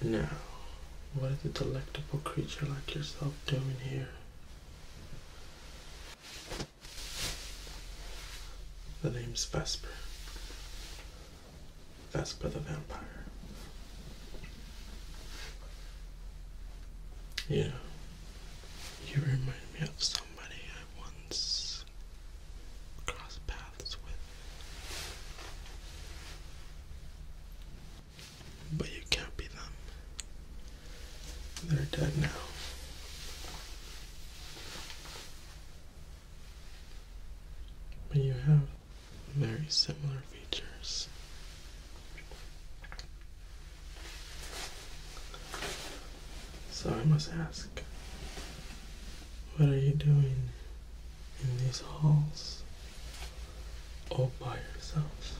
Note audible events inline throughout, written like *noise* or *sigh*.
Now, what is a delectable creature like yourself doing here? The name's Vesper. Vesper the Vampire. Yeah. You remind me of somebody I once crossed paths with. But you can't be them. They're dead now. But you have very similar features. So I must ask, what are you doing in these halls all by yourself.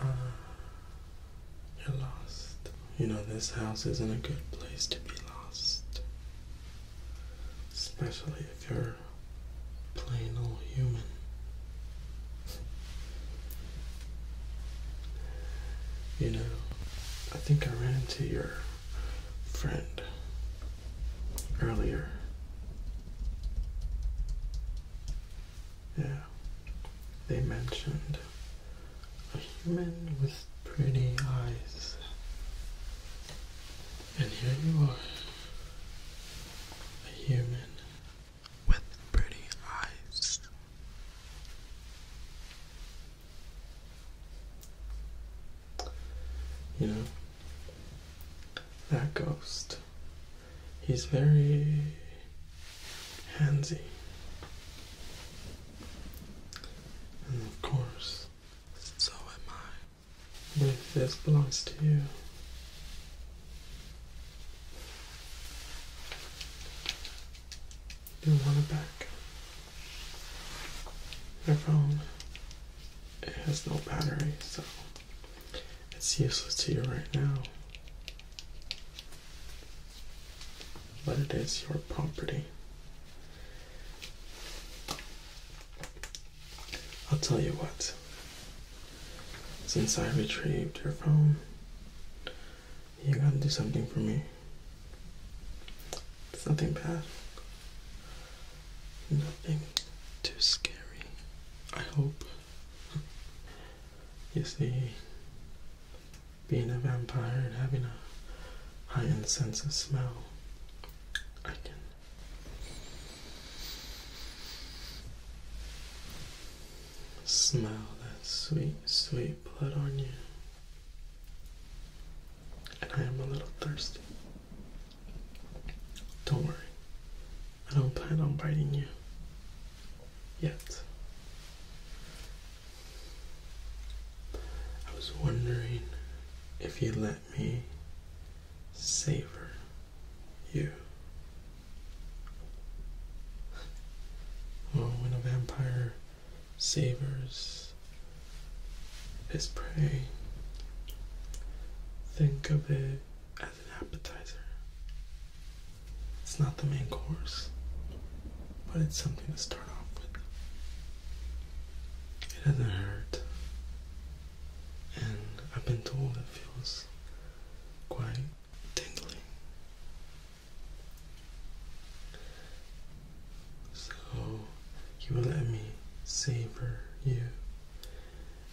Uh, ah, you're lost. You know, this house isn't a good place to be lost. Especially if you're plain old human. You know, I think I ran into your friend earlier. Yeah, they mentioned a human with pretty eyes. And here you are, a human with pretty eyes. You know, that ghost, he's very handsy. And of course, so am I. this belongs to you, you want it back. Your phone it has no battery, so it's useless to you right now. But it is your property. I'll tell you what. Since I retrieved your phone, you gotta do something for me. It's nothing bad. Nothing too scary. I hope. *laughs* you see, being a vampire and having a high sense of smell, I can. Smell that sweet, sweet blood on you. And I am a little thirsty. Don't worry, I don't plan on biting you. Yet. I was wondering if you'd let me savor you. Well, when a vampire savors his prey. Think of it as an appetizer. It's not the main course, but it's something to start off with. It doesn't hurt, and I've been told it feels quite tingling. So you let me savor you,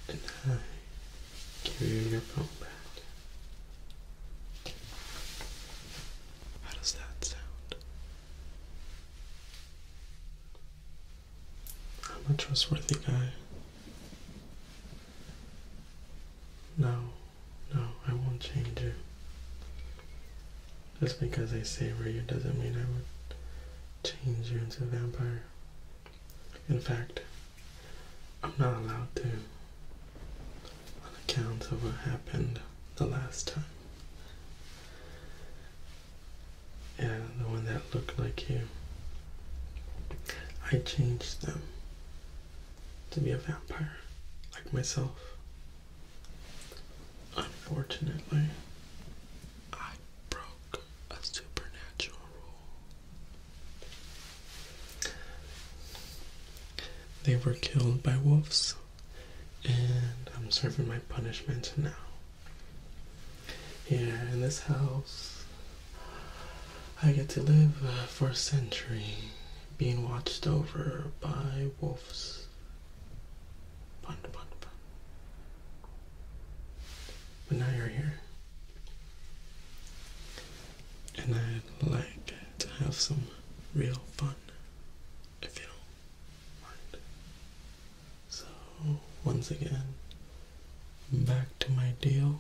and I give you your phone back. How does that sound? I'm a trustworthy guy. No. No, I won't change you. Just because I savor you doesn't mean I would change you into a vampire. In fact, I'm not allowed to on account of what happened the last time. Yeah, the one that looked like you. I changed them to be a vampire like myself. Unfortunately, I broke a supernatural rule. They were killed by wolves, and I'm serving my punishment now. Here in this house, I get to live uh, for a century being watched over by wolves. But now you're here. And I'd like to have some real fun, if you don't mind. So, once again, back to my deal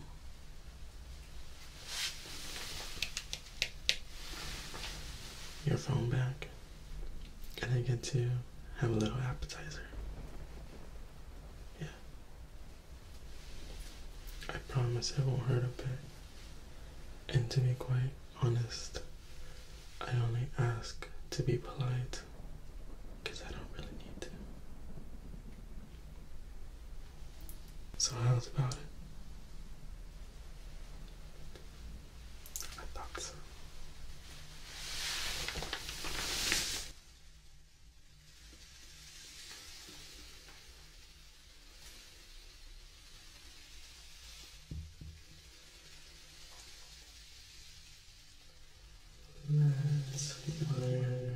your phone back, and I get to have a little appetizer. Yeah. I promise it won't hurt a bit. And to be quite honest, I only ask to be polite because I don't really need to. Silent about it. I thought so. Let's see where it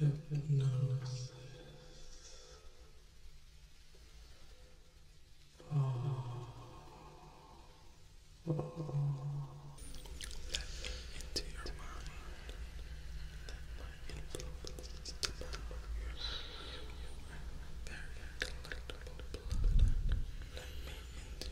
hypnosis oh. Let into your mind. Let my influence devour you. You are very collectible blood. Let me into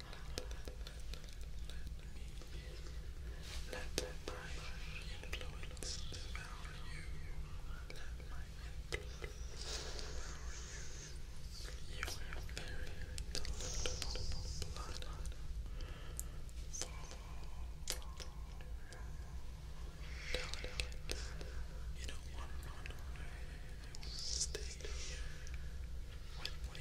Let my influence you. Let my influence devour you. You have very delectable blood. Delicate. You don't want to run away. You want to stay here with me.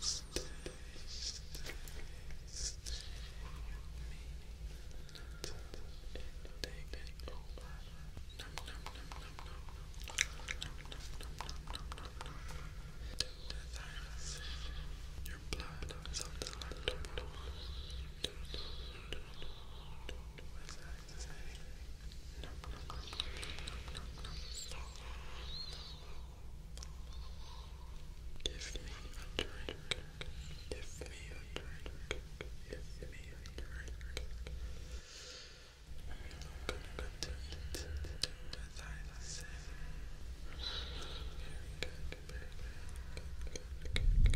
Stay, stay with me until the end of the day over. Nom nom nom nom nom. Nom nom nom nom nom nom nom. To the thymus. Your blood is on the lactobacillus. Do do do do do do as I say. Nom nom nom nom nom nom nom. Give me a drink. Give me a drink. Give me a drink. I'm not gonna continue to do as I say. Very good, very good, good, good, good, good.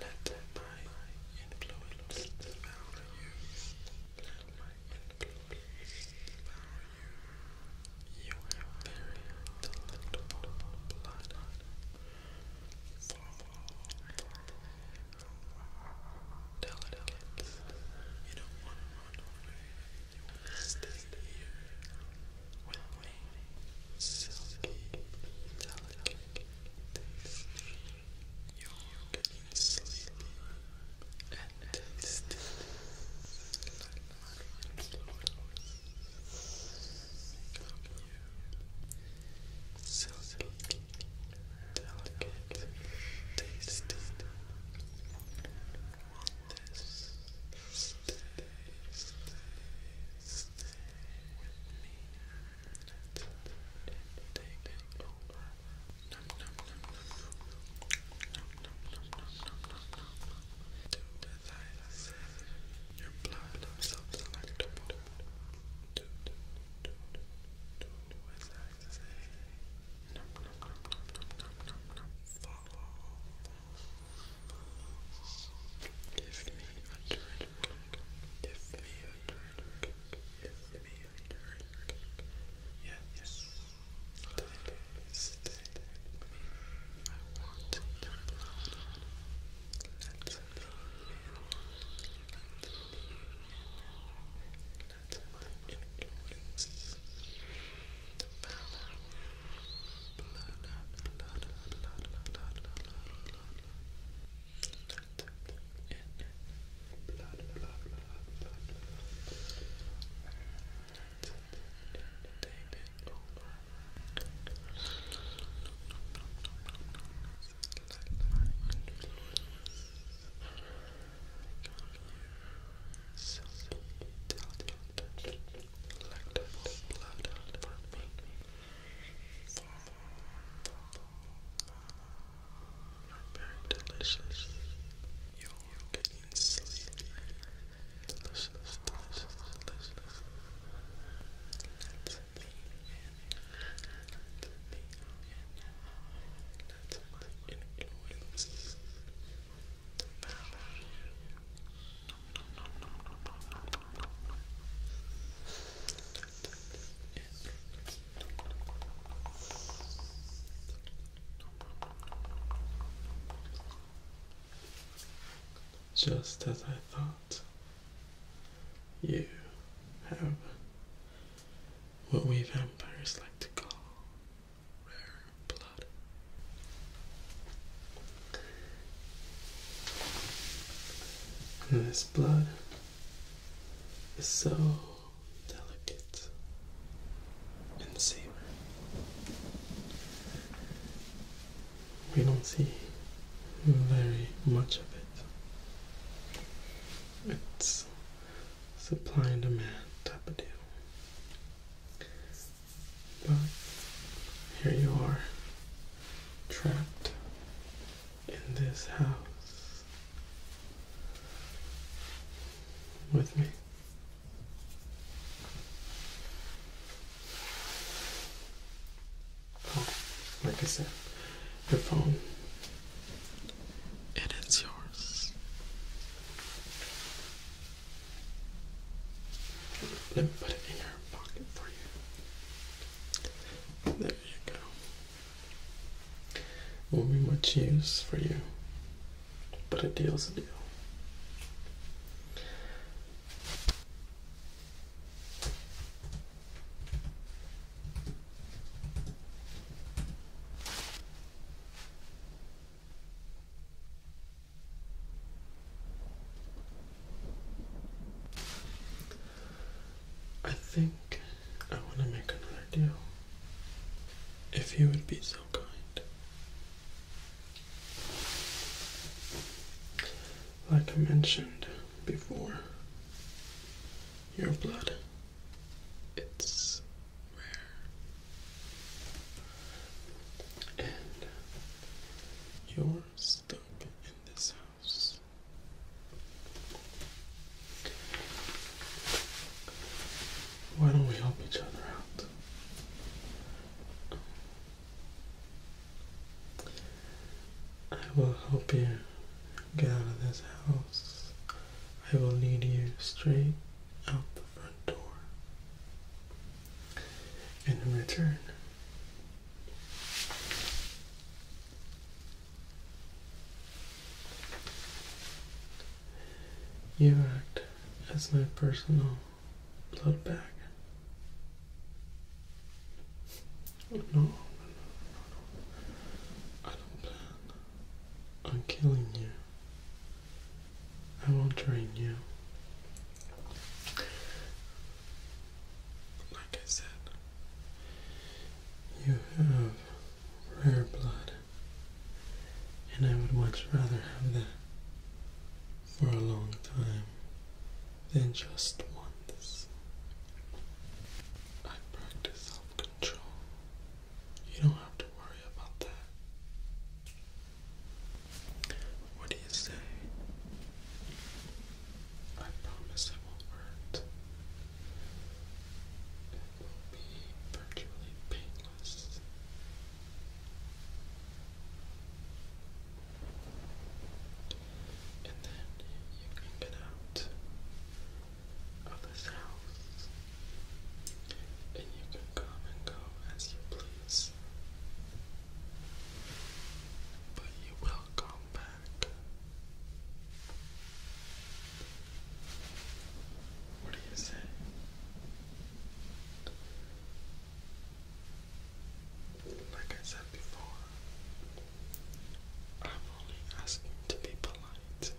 Let me, let my influence my influence values. You have very delectable blood. You don't want to run away. You want to stay here with you're sleepy and tasty my flowers. Come you, silky, delicate, tasty. On this, stay, stay, stay with me take over. Nom nom I said. Your blood is self-selectable. Do do do do do I say. Follow. Give me a drink. Give me a drink. Yes, me Yes, yes. Stay with me. I want your blood. Let me Let my influences the power. Blood, blood, blood, blood, blood, blood, blood. Let in blood, blood, blood, blood, blood. Tape it over. Let my influence come here. Something like that blood for me. Very delicious. You're getting sleepy. Delicious, delicious, delicious. Just as I thought, you have what we vampires like to call rare blood this blood is so delicate and savory. We don't see very much of it. It's supply and demand type of deal. But here you are trapped in this house with me. like I said, the phone. It is yours. Let me put it in your pocket for you. There you go. Won't be much use for you, but a deal's a deal. I think I want to make another deal. If you would be so kind. Like I mentioned before, your blood, it's rare. And your stomach this house. Why don't we help each other out? I will help you get out of this house. I will lead you straight out the front door. In return, you act as my personal blood bag. No, I don't plan on killing you. I won't drain you like I said, you have rare blood, and I would much rather have that for a long time than just once. I practice self control. You don't have to worry about that. What do you say? I promise it will hurt. It will be virtually painless. And then you can get out of this house. And you can come and go as you please. But you will come back. What do you say? Like I said before, I'm only asking to be polite.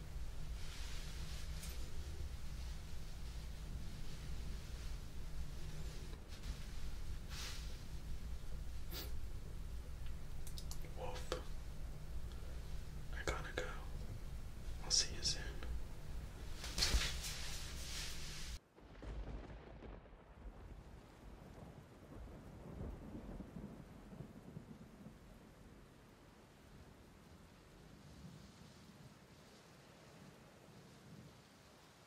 Wolf. I gotta go. I'll see you soon.